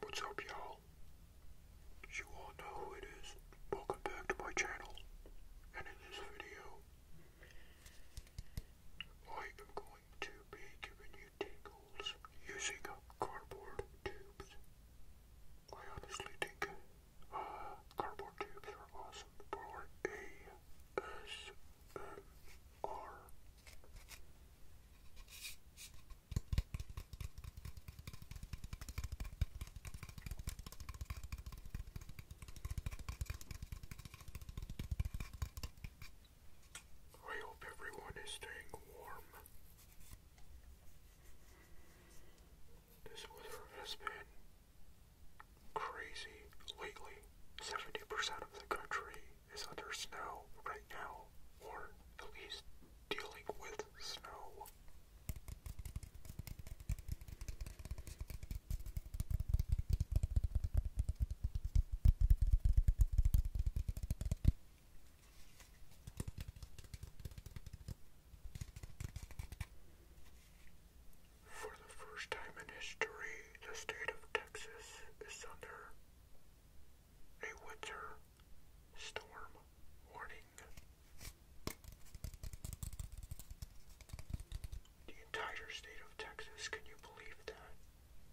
What's up y'all? You all know who it is. Welcome back to my channel. And in this video, I am going to be giving you tingles using cardboard tubes. I honestly think uh, cardboard tubes are awesome for I hope everyone is staying warm. This weather has been crazy lately. 70% of the country is under snow right now, or at least dealing with snow. For the first time in history, the state of Texas is under a winter storm warning. The entire state of Texas, can you believe that?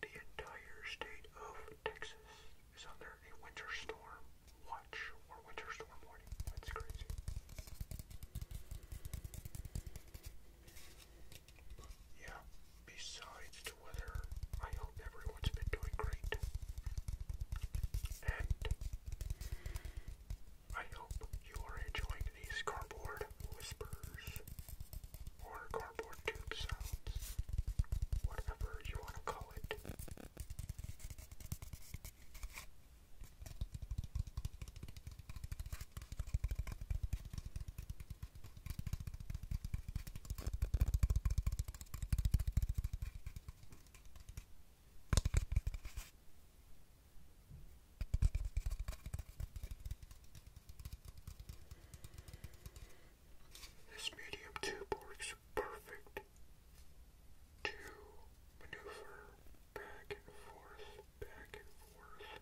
The entire state of Texas is under a winter storm watch or winter storm warning. That's crazy. Yeah, besides the weather, I hope everyone's been doing great. And I hope you are enjoying these cardboard whispers or cardboard tube sounds, whatever you want to call it. This medium tube works perfect to maneuver back and forth, back and forth,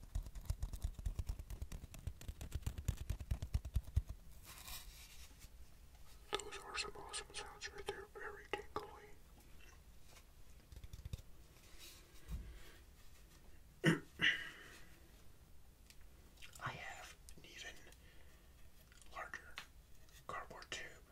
Those are some awesome sounds right there, very tingly. I have an even larger cardboard tube.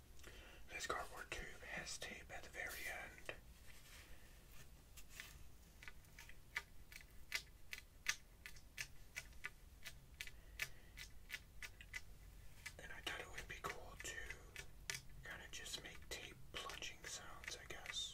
This cardboard tube has tape at the very end. And I thought it would be cool to kind of just make tape plunging sounds, I guess.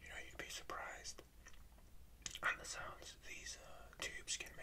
You know, you'd be surprised at the sounds these uh, tubes can make.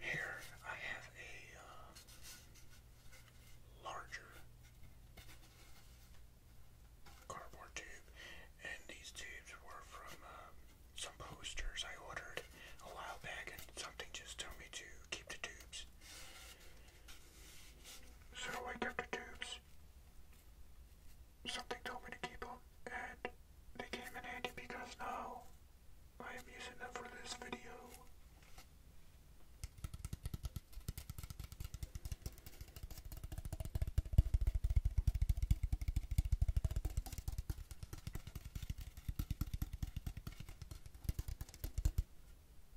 Here I have a uh, larger cardboard tube, and these tubes were from um, some posters I ordered a while back, and something just told me to keep the tubes. So I kept the tubes something told me to keep them, and they came in handy because now I am using them for this video.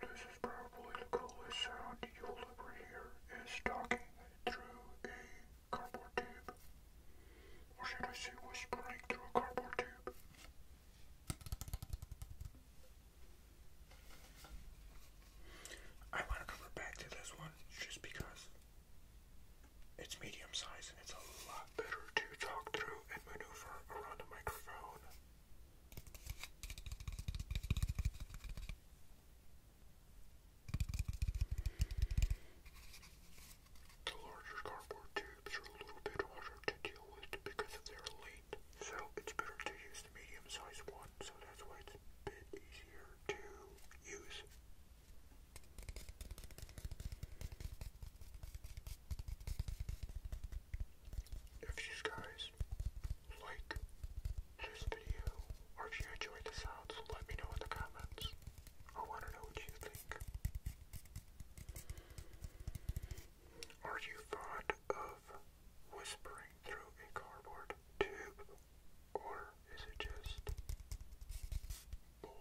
This is probably the coolest sound you'll ever hear is talking through a cardboard tube. Or should I say whispering through a cardboard tube? I want to come back to this one just because it's medium size and it's a lot better to talk through and maneuver around a microphone. The larger cardboard tubes are a little bit harder to deal with because of their length, so it's better to use the medium sized one, so that's why it's a bit easier to use. If you guys like this video, or if you enjoyed the sounds, let me know in the comments. I want to know what you think. Are you fond of whispering through a cardboard tube or is it just boring?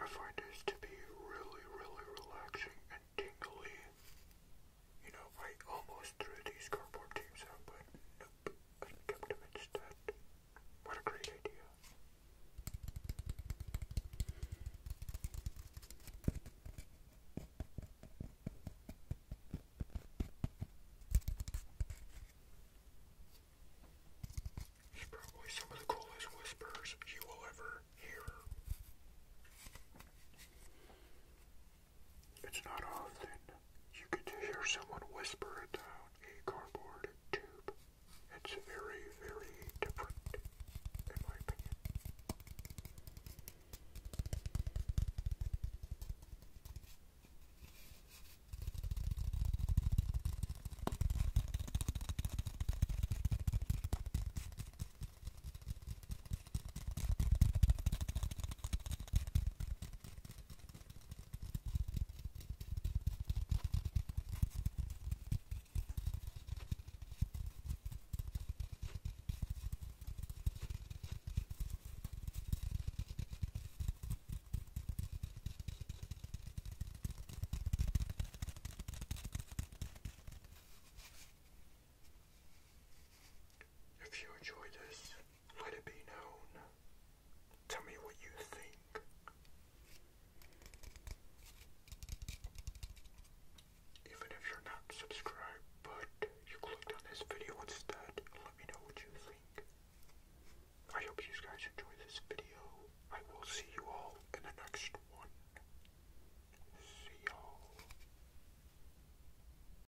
I find this to be really, really relaxing and tingly. You know, I almost threw these cardboard tapes out, but up and kept him instead. What a great idea. It's probably some of the coolest whispers you will ever hear. It's not often you get to hear someone whisper it down a cardboard tube. It's very, very different, in my opinion. If you enjoy this, let it be known. Tell me what you think. Even if you're not subscribed, but you clicked on this video instead, let me know what you think. I hope you guys enjoy this video. I will see you all in the next one. See y'all.